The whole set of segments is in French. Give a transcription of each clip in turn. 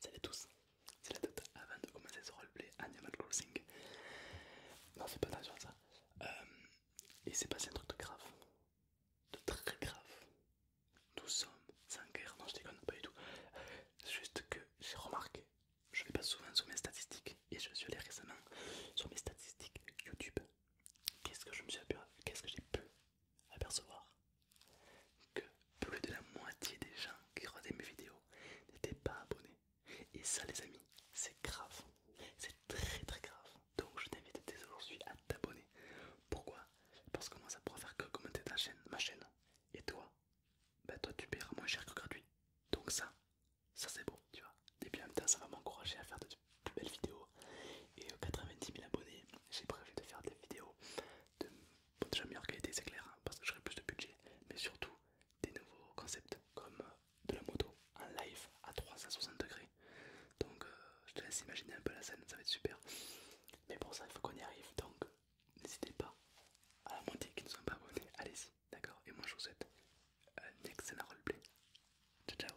Salut à tous, c'est la Tête avant de commencer ce roleplay Animal Crossing. Non, c'est pas attention à ça. Euh, il et passé un truc de grave, de très grave. Nous sommes sans guerre, non, je déconne pas du tout. Euh, juste que j'ai remarqué, je vais pas souvent sur mes statistiques et je suis allé récemment sur mes statistiques YouTube. Qu'est-ce que je me suis Qu'est-ce que j'ai pu apercevoir que plus de la moitié des gens qui regardaient mes vidéos n'étaient pas abonnés. Et ça les amis, c'est grave, c'est très très grave. Donc je t'invite dès aujourd'hui à t'abonner. Pourquoi Parce que moi ça pourra faire que commenter ta chaîne, ma chaîne. Et toi Bah toi tu paieras moins cher que gratuit. Donc ça, ça c'est bon tu vois. Et puis en même temps ça va m'encourager à faire de plus belles vidéos et 90 euh, 000 abonnés, j'ai prévu de faire des vidéos de meilleure qualité, c'est clair, hein, parce que j'aurai plus de budget, mais surtout des nouveaux concepts comme euh, de la moto en live à 360 degrés. Donc euh, je te laisse imaginer un peu la scène, ça va être super. Mais pour ça, il faut qu'on y arrive, donc n'hésitez pas à la monter qui ne sont pas abonnés, allez-y, d'accord Et moi, je vous souhaite un excellent roleplay. Ciao, ciao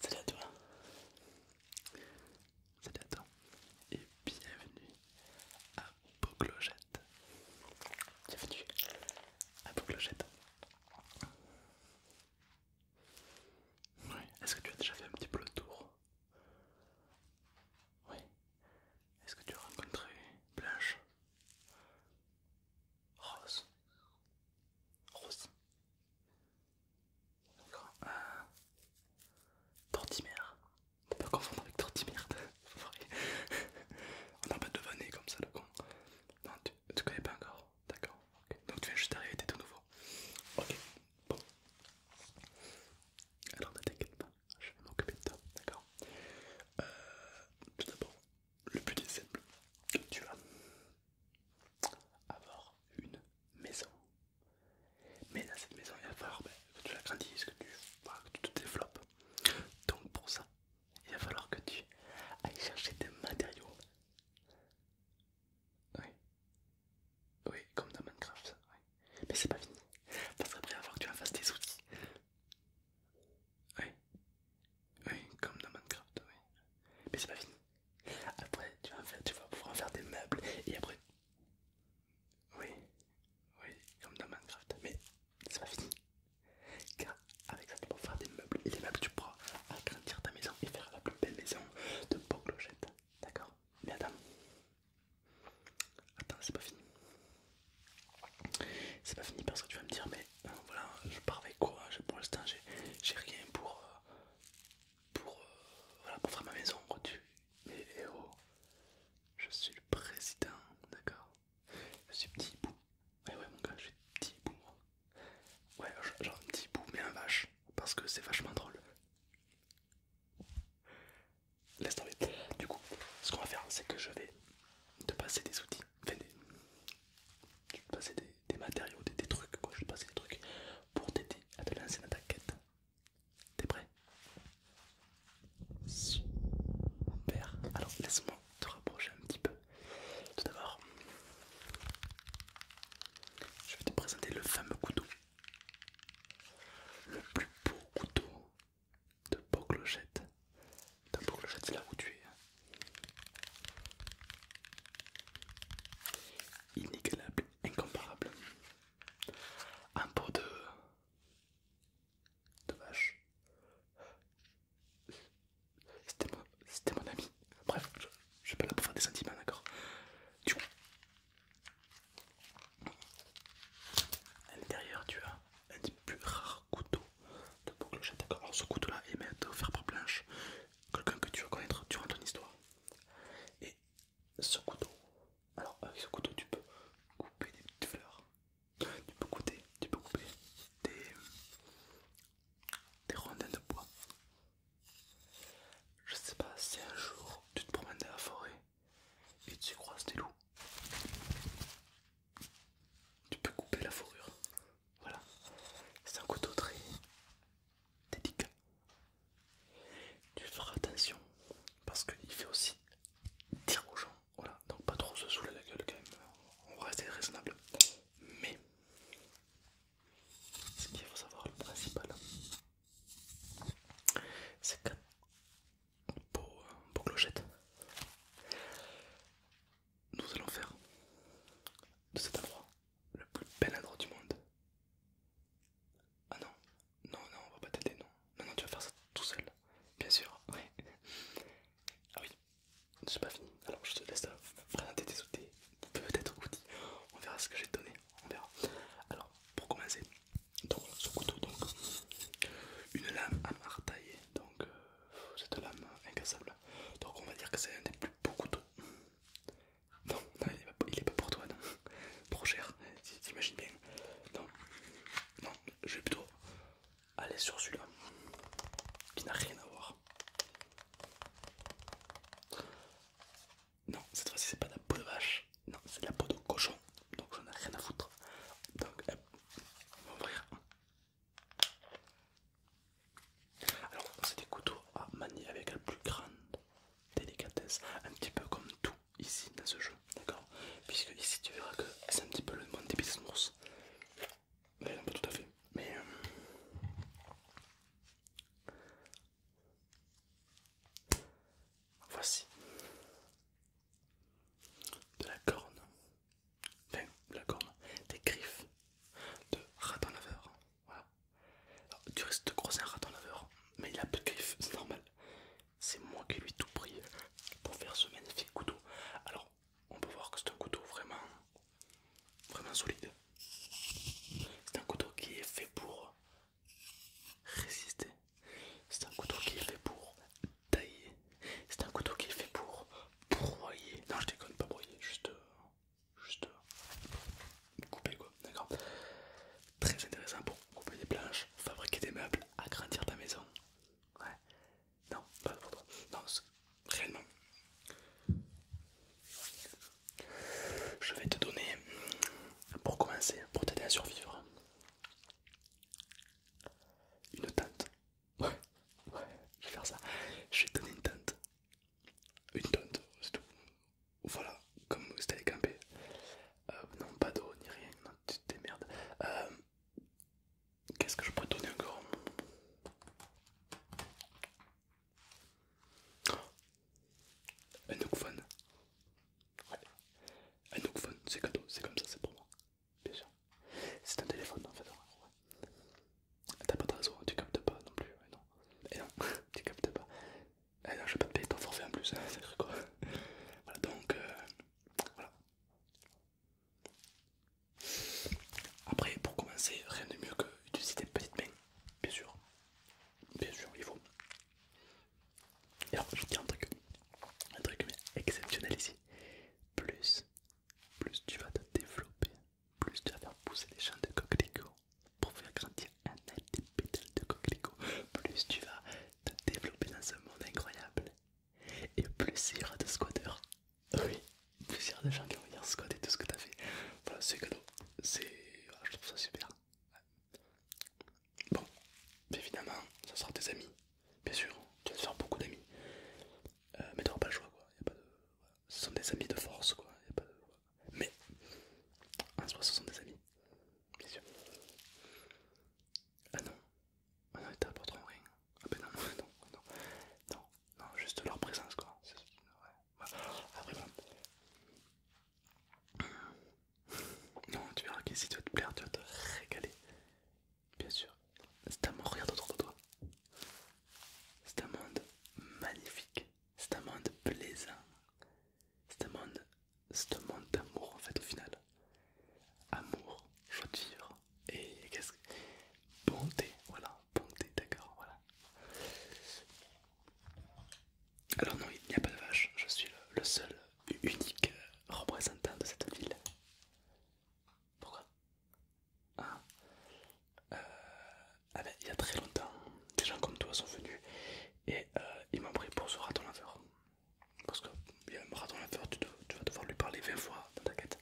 Salut à toi. Salut à toi. Et bienvenue à Beauclochette, Bienvenue à Beauclochette, Oui, est-ce que tu as déjà fait un petit peu le tour Oui. Est-ce que tu as rencontré Blanche Rose. Rose. D'accord. Euh... Tortimère. On pas confondre avec Tortimère. On n'a pas de devané comme ça le con. Non, tu, connais pas encore. D'accord. Donc tu viens juste d'arriver, t'es tout nouveau. Ok. Bon. Alors ne t'inquiète pas, je vais m'occuper de toi. D'accord. Euh, tout d'abord, le but est simple, tu vas avoir une maison. Mais dans cette maison, il va falloir ben, que tu la grandisses, que tu, te développes. Donc pour ça, il va falloir que tu ailles chercher des matériaux. Oui. Oui, comme dans Minecraft. Mais c'est pas fini. Parce qu'après, il va falloir que tu en fasses des outils. Oui. Oui, comme dans Minecraft, oui. Mais c'est pas fini. Après, tu vas, pouvoir faire des meubles et après... Oui, oui, comme dans Minecraft, mais c'est pas fini. Car avec ça, tu peux faire des meubles et les meubles, tu pourras agrandir ta maison et faire la plus belle maison de Beau D'accord Mais attends, attends, c'est pas fini. C'est pas fini parce que tu vas me dire, mais voilà, je pars avec quoi Pour l'instant, j'ai rien pour euh, pour, euh, voilà, pour faire ma maison. héros, eh oh, je suis le président, d'accord Je suis petit bout. Ouais, eh ouais, mon gars, je suis petit bout, Ouais, genre un petit bout, mais un vache, parce que c'est vachement drôle. Laisse tomber. Du coup, ce qu'on va faire, c'est que je vais te passer des outils je vais te passer des, matériaux, des, trucs je vais passer des trucs pour t'aider à te lancer dans ta quête. T'es prêt Super. Alors laisse-moi te rapprocher un petit peu. Tout d'abord, je vais te présenter le fameux couteau. Le plus beau couteau de beaux Clochette. De beau Clochette, c'est là où tu es. Hein. Inégalable, incomparable. Un pot de. de vache. C'était mon, c'était mon ami. Bref, je, suis pas là pour faire des sentiments, d'accord Du à l'intérieur, tu as un des plus rares couteau de boucle d'accord Alors ce couteau là est offert par planche quelqu'un que tu veux connaître durant ton histoire. Et ce couteau, alors avec ce couteau tu peux couper des petites fleurs, tu peux couper, tu peux couper des, des rondins de bois. Je sais pas si un jour tu te promènes dans la forêt et tu croises des loups tu peux couper la fourrure. Voilà, c'est un couteau très délicat. Tu feras attention parce qu'il fait aussi dire aux gens, voilà, donc pas trop se saouler la gueule quand même, on va rester raisonnable. Mais ce qu'il faut savoir, le principal, c'est que beau, beau clochette. Nous allons faire de cet endroit le plus bel endroit du monde. Ah non, non, non, on va pas t'aider, non. Non, tu vas faire ça tout seul, bien sûr. Oui. Ah oui, c'est pas fini. Alors je te laisse euh, présenter tes outils, peut-être outils. On verra ce que j'ai donné, on verra. Alors pour commencer, donc ce couteau, donc une lame à martailler, donc euh, cette lame incassable. Donc on va dire que c'est un des plus beaux couteaux. Non, non il, est pas, pour toi, non. Trop cher, t'imagines bien. Non, non, je vais plutôt aller sur celui-là, qui n'a rien à voir. Non, cette fois-ci c'est pas de la peau de vache, non, c'est de la peau de cochon, donc j'en ai rien à foutre. Donc, euh, on va ouvrir. Alors c'est des couteaux à manier avec la plus grande délicatesse, un petit peu comme tout ici dans ce jeu, d'accord Puisque ici tu verras que c'est un petit peu le monde des petites ours. Mais pas tout à fait. Mais euh, voici de la corne enfin, la corne, des griffes de raton laveur. Voilà. tu risques de grossir un raton laveur, mais il a peu de griffes, c'est normal. C'est moi qui lui tout pris pour faire ce magnifique couteau. Alors, on peut voir que c'est un couteau vraiment, vraiment solide. C'est un couteau qui est fait pour résister c'est un couteau qui est fait pour tailler. C'est un couteau qui est fait pour broyer. Non, je déconne, pas broyer, juste. Euh, juste. Euh, couper quoi, d'accord Très intéressant pour couper des planches, fabriquer des meubles, agrandir ta maison. Ouais. Non, pas pour toi. Non, réellement. Je vais te donner, pour commencer, pour t'aider à survivre, une tente. Ouais, ouais, je vais faire ça. Je vais donner une tente. Une tente, c'est tout. Voilà, comme c'était t'allais camper. Euh, non, pas d'eau ni rien, non, tu te euh, Qu'est-ce que je pourrais donner encore Un Un hookphone. Ouais. Un phone, c'est cadeau, c'est comme ça, c'est pour moi bien sûr. C'est un téléphone en fait. Ouais. T'as pas de réseau, tu captes pas non plus. Et non, tu captes pas. Et eh non, je vais pas te payer ton forfait en plus, ça c'est quoi. voilà donc, euh, voilà. Après, pour commencer, rien de mieux que d'utiliser tes petites mains, bien sûr. Bien sûr, il faut. Et alors, je dis un truc, un truc exceptionnel ici. Plus, plus tu vas te développer, plus tu vas faire pousser les champs de coquelicots pour faire grandir un petit de coquelicots. Plus tu vas te développer dans ce monde incroyable. Et plus il y aura de squatteurs. Oui, plus il y aura de gens qui vont venir squatter tout ce que tu as fait. Voilà, c'est que C'est... Ah, je trouve ça super. Bon, évidemment, ça sera tes amis, bien sûr, tu vas te faire beaucoup d'amis, euh, mais tu t'auras pas le choix quoi, ce sont des amis de force quoi, mais en soi ce sont des amis, bien sûr. Ah non, ah non ils t'apporteront rien, ah ben non, non, non, non, juste leur présence quoi, après non, tu verras si tu vas te plaire, tu vas te régaler. Bien sûr. C'est un monde, regarde autour de toi. C'est un monde magnifique. C'est un monde plaisant. C'est un monde, c'est monde d'amour en fait au final. Amour, joie de et qu'est-ce que... Bonté, voilà, bonté, d'accord, voilà. Alors non, il n'y a pas de vache, je suis le seul unique représentant de cette ville. Pourquoi ah. Euh, ah ben, il y a très longtemps, des gens comme toi sont venus et euh, ils m'ont pris pour ce raton laveur. Parce qu'il y a un raton laveur, tu, vas devoir lui parler 20 fois dans ta quête.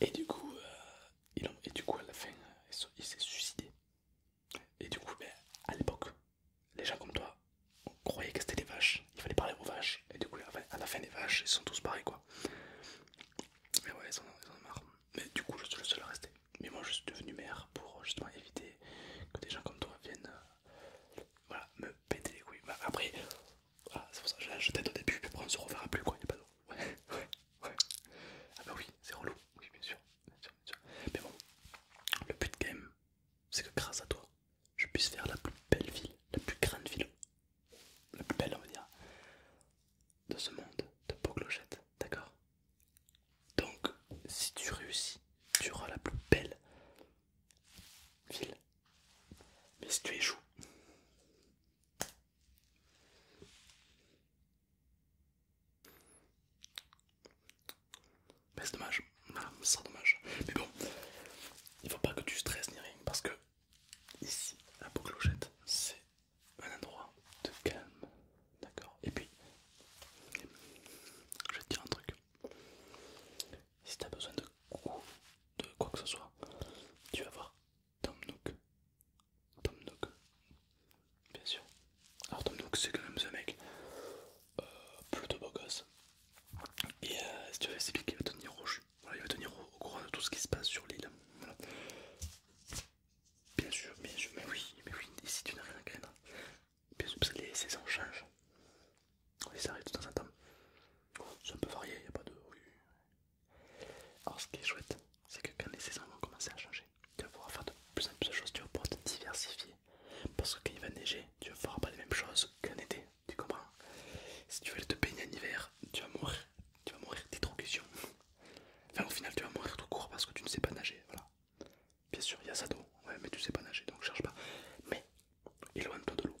Et du coup, euh, et du coup à la fin, il s'est suicidé. Et du coup, à l'époque, les gens comme toi croyaient que c'était des vaches. Il fallait parler aux vaches. Et du coup, à la fin des vaches, ils sont tous barrés quoi. Mais ouais, ils en, ont marre. Mais du coup, je suis le seul à rester. Mais moi, je suis devenu maire pour justement éviter que des gens comme toi viennent euh, me péter les couilles. Bah, après, ah, c'est pour ça que je, je t'aide au début, puis après on se reverra plus quoi. Il n'y a pas de... Ouais, Ah bah oui, c'est relou. Oui, bien sûr. bien sûr. Mais bon, le but quand même, c'est que grâce à toi, je puisse faire la plus belle ville, la plus grande ville, la plus belle, on va dire, de ce monde de clochette d'accord Donc, si tu réussis, tu auras la plus belle ville. Mais si tu échoues, mais c'est dommage, ça dommage. Mais bon, il faut pas que tu stresses ni rien parce que ici, la peau clochette, c'est un endroit de calme, d'accord Et puis, je vais te dire un truc. Si tu as besoin de, de quoi que ce soit, tu vas voir Tom Nook. Tom Nook bien sûr. Alors Tom Nook c'est quand même ce mec euh, plutôt beau gosse. Et euh, si tu veux c'est lui qui va tenir rouge il va tenir au, courant de tout ce qui se passe sur l'île. Bien sûr, bien sûr, mais oui, mais oui, ici tu n'as rien à craindre Bien sûr, parce que les saisons changent. ça arrive de temps en temps. C'est un peu varié, il n'y a pas de... Alors ce qui est chouette, c'est que quand les saisons vont commencer à changer, tu vas pouvoir faire de plus en plus de choses, tu vas pouvoir te diversifier. Parce que quand il va neiger, tu vas voir pas les mêmes choses qu'en été, tu comprends Si tu veux te baigner en hiver, tu vas mourir, tu vas mourir d'hydrocution. Enfin au final tu vas mourir tout court parce que tu ne sais pas nager, voilà. Bien sûr, il y a ça d'eau, mais tu sais pas nager, donc cherche pas. Mais éloigne-toi de l'eau,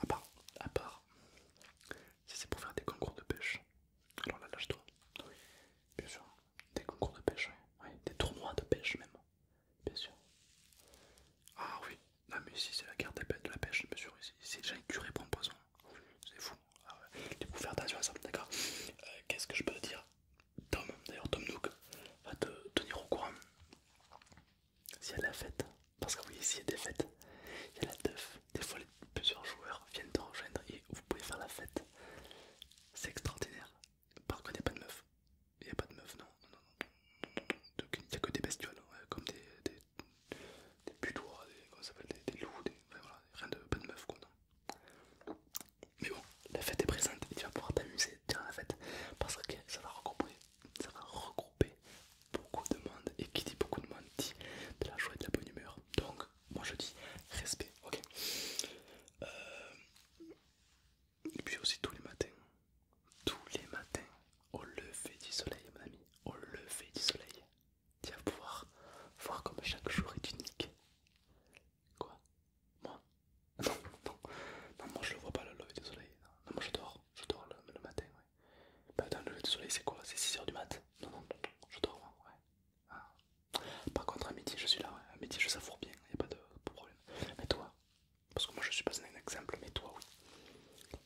à part, à part si c'est pour faire des concours de pêche. Alors là lâche-toi. bien sûr. Des concours de pêche, oui. Des tournois de pêche même, bien sûr. Ah oui, non mais ici c'est la guerre de la pêche, bien sûr. Ici c'est déjà une curée pour poison. C'est fou. Ah faire attention à ça, d'accord euh, Qu'est-ce que je peux te dire Tom, d'ailleurs Tom Nook, va te tenir au courant. S'il y a la fête, parce que oui, ici il y a des fêtes, il y a la teuf, des fois plusieurs joueurs viennent te rejoindre et vous pouvez faire la fête. C'est extraordinaire. Par contre, il a pas de meuf. Il n'y a pas de meuf, non. non, non. il n'y a que des bestioles, hein, comme des, des, des putois, des, comment ça s'appelle, des, loups, rien de pas de meuf, quoi. Non. Mais bon, la fête est présente et tu vas pouvoir t'amuser durant la fête parce que ça va regrouper, ça va regrouper beaucoup de monde et qui dit beaucoup de monde dit de la joie et de la bonne humeur. Donc, moi je dis respect, ok euh, Et puis aussi tous les matins, tous les matins, au lever du soleil mon ami, au lever du soleil, tu vas pouvoir voir comme chaque jour est unique. Quoi Moi non, non, non, moi je le vois pas le lever du soleil, non, moi je dors, je dors le, matin, ouais. Bah le lever du soleil c'est quoi C'est 6h du mat Non, non, non, je dors, ouais, ah. Par contre, à midi, je suis là, à midi, je savoure bien, il n'y a pas de problème. Mais toi, parce que moi je suis pas un exemple, mais toi, oui.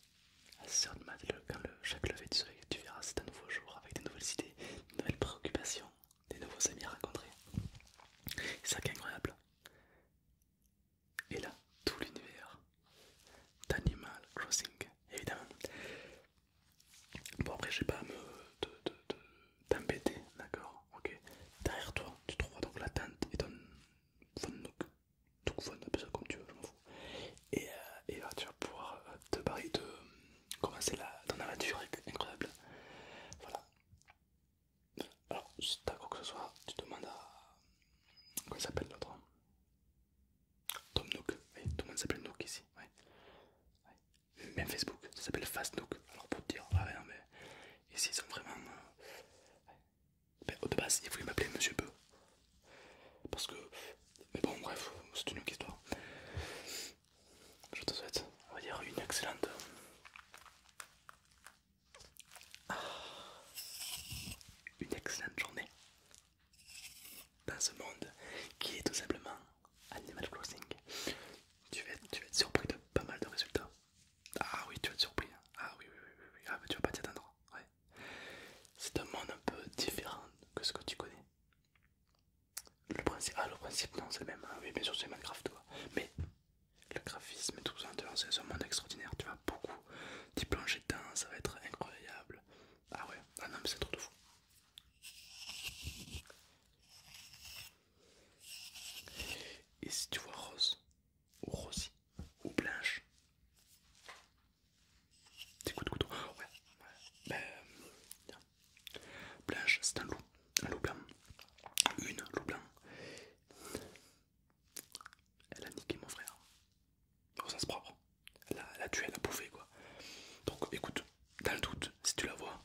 À ce de quand chaque lever du soleil, tu verras, c'est un nouveau jour avec des nouvelles idées, des nouvelles préoccupations, des nouveaux amis à rencontrer. C'est ça qui incroyable. Et là, tout l'univers d'Animal Crossing, évidemment. Bon, après, j'ai pas à me t'embêter, d'accord Ok. Derrière toi, tu trouveras donc la teinte et ton Vonnook. Tout ça comme tu veux, Et, euh, tu vas pouvoir euh, te barrer de commencer la, ton aventure incroyable. Voilà. Alors, si t'as quoi que ce soit, tu demandes à. Comment s'appelle l'autre Tom Nook. Oui, tout le monde s'appelle Nook ici. Ouais même Facebook, ça s'appelle Fastnook. Alors pour te dire, ah ouais, mais ici ils sont vraiment. Euh, ben, au de base, il voulaient m'appeler Monsieur Peu. Parce que. Mais bon, bref, c'est une autre histoire. Je te souhaite, on va dire, une excellente. une excellente journée dans ce monde qui est tout simplement Animal Crossing, tu vas, être, surpris de pas mal de résultats. Ah oui, tu vas être surpris. Hein. Ah oui, oui, oui, oui. Ah, mais tu vas pas t'y attendre. Ouais. C'est un monde un peu différent que ce que tu connais. Le principe, ah, le principe, non, c'est le même. Hein. Oui, bien sûr, c'est Minecraft, toi. Mais le graphisme et tout ça, c'est un monde extraordinaire. Tu vas beaucoup t'y plonger dedans, ça va être incroyable. Ah ouais, ah non, mais c'est trop de fou. Et si tu vois rose, ou rosy, ou blanche, écoute ouais, ben, Blanche, c'est un loup, un loup blanc, une loup blanc. Elle a niqué mon frère, au sens propre, elle elle a tué, elle a bouffé quoi. Donc écoute, dans le doute, si tu la vois,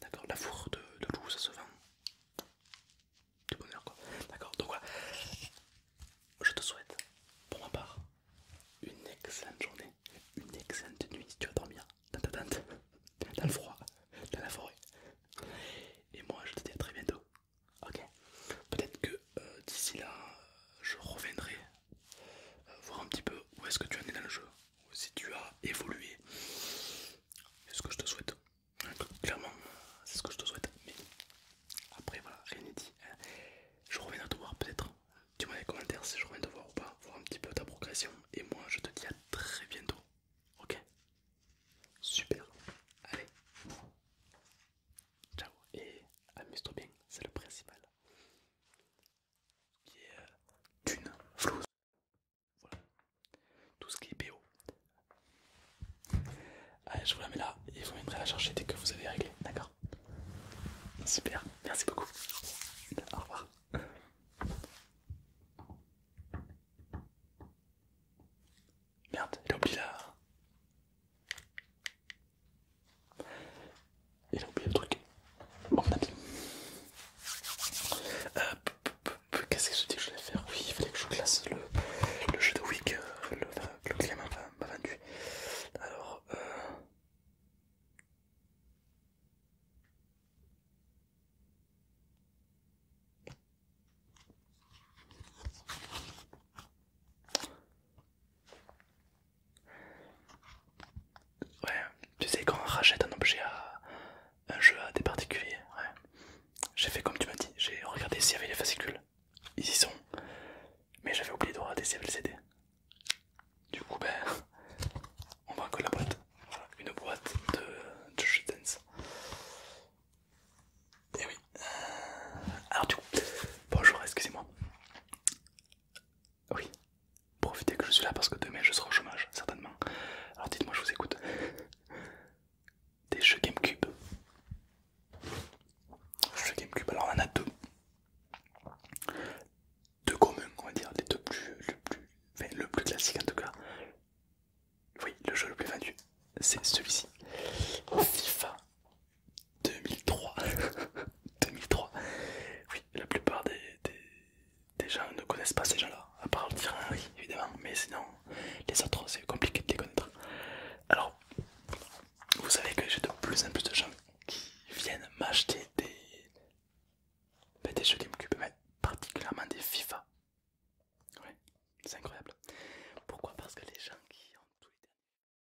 d'accord, la fourre de, de loup, ça se vend. Du bonheur quoi. D'accord, donc voilà. Je te souhaite, pour ma part, une excellente journée, une excellente nuit tu vas dormir dans ta tente, dans le froid, dans la forêt. Et moi, je te dis à très bientôt. Ok Peut-être que euh, d'ici là, je reviendrai euh, voir un petit peu où est-ce que tu en es dans le jeu, si tu as évolué. C'est ce que je te souhaite. Hein, clairement, c'est ce que je te souhaite. Mais après, voilà, rien n'est dit. Hein. Je reviens te voir peut-être. Dis-moi dans les commentaires si je reviens te voir ou pas, voir un petit peu ta progression. Et moi, je te dis à très bientôt. Ok Super. Allez. Ciao. Et amuse-toi bien, c'est le principal qui est euh, Dune, Flouze, voilà, tout ce qui est BO. Allez, je vous la mets là et vous viendrez la chercher dès que vous avez réglé, d'accord Super, merci beaucoup. Au revoir. Merde, j'ai oublié la... Il a oublié le truc. Bon, on Euh, Qu'est-ce que je dis que je vais faire Oui, il fallait que je classe le, jeu de week euh, le, le, le client m'a vendu. Alors, euh... Ouais, tu sais, quand on rachète un objet à un jeu à des particuliers, ouais. J'ai fait comme tu m'as dit, j'ai regardé s'il y avait les fascicules. Ils y sont, mais j'avais oublié de regarder s'il y avait le CD. Du coup, ben, on voit que la boîte. une boîte de, de Et eh oui. Euh, alors, du coup, bonjour, excusez-moi. Oui, profitez que je suis là parce que demain je serai au chômage, certainement. Alors dites-moi, je vous écoute. Des jeux Gamecube. Jeux Gamecube, alors on en a deux. Deux communs, on va dire, les deux plus. Le plus, le plus classique en tout cas. Oui, le jeu le plus vendu, c'est celui-ci FIFA 2003. 2003. Oui, la plupart des, gens ne connaissent pas ces gens-là, à part le tir évidemment, mais sinon les autres c'est compliqué de les connaître. Alors, vous savez que j'ai de plus en plus de gens qui viennent m'acheter des, ben, des jeux GameCube, mais particulièrement des FIFA. Ouais, c'est incroyable. Pourquoi Parce que les gens qui ont tous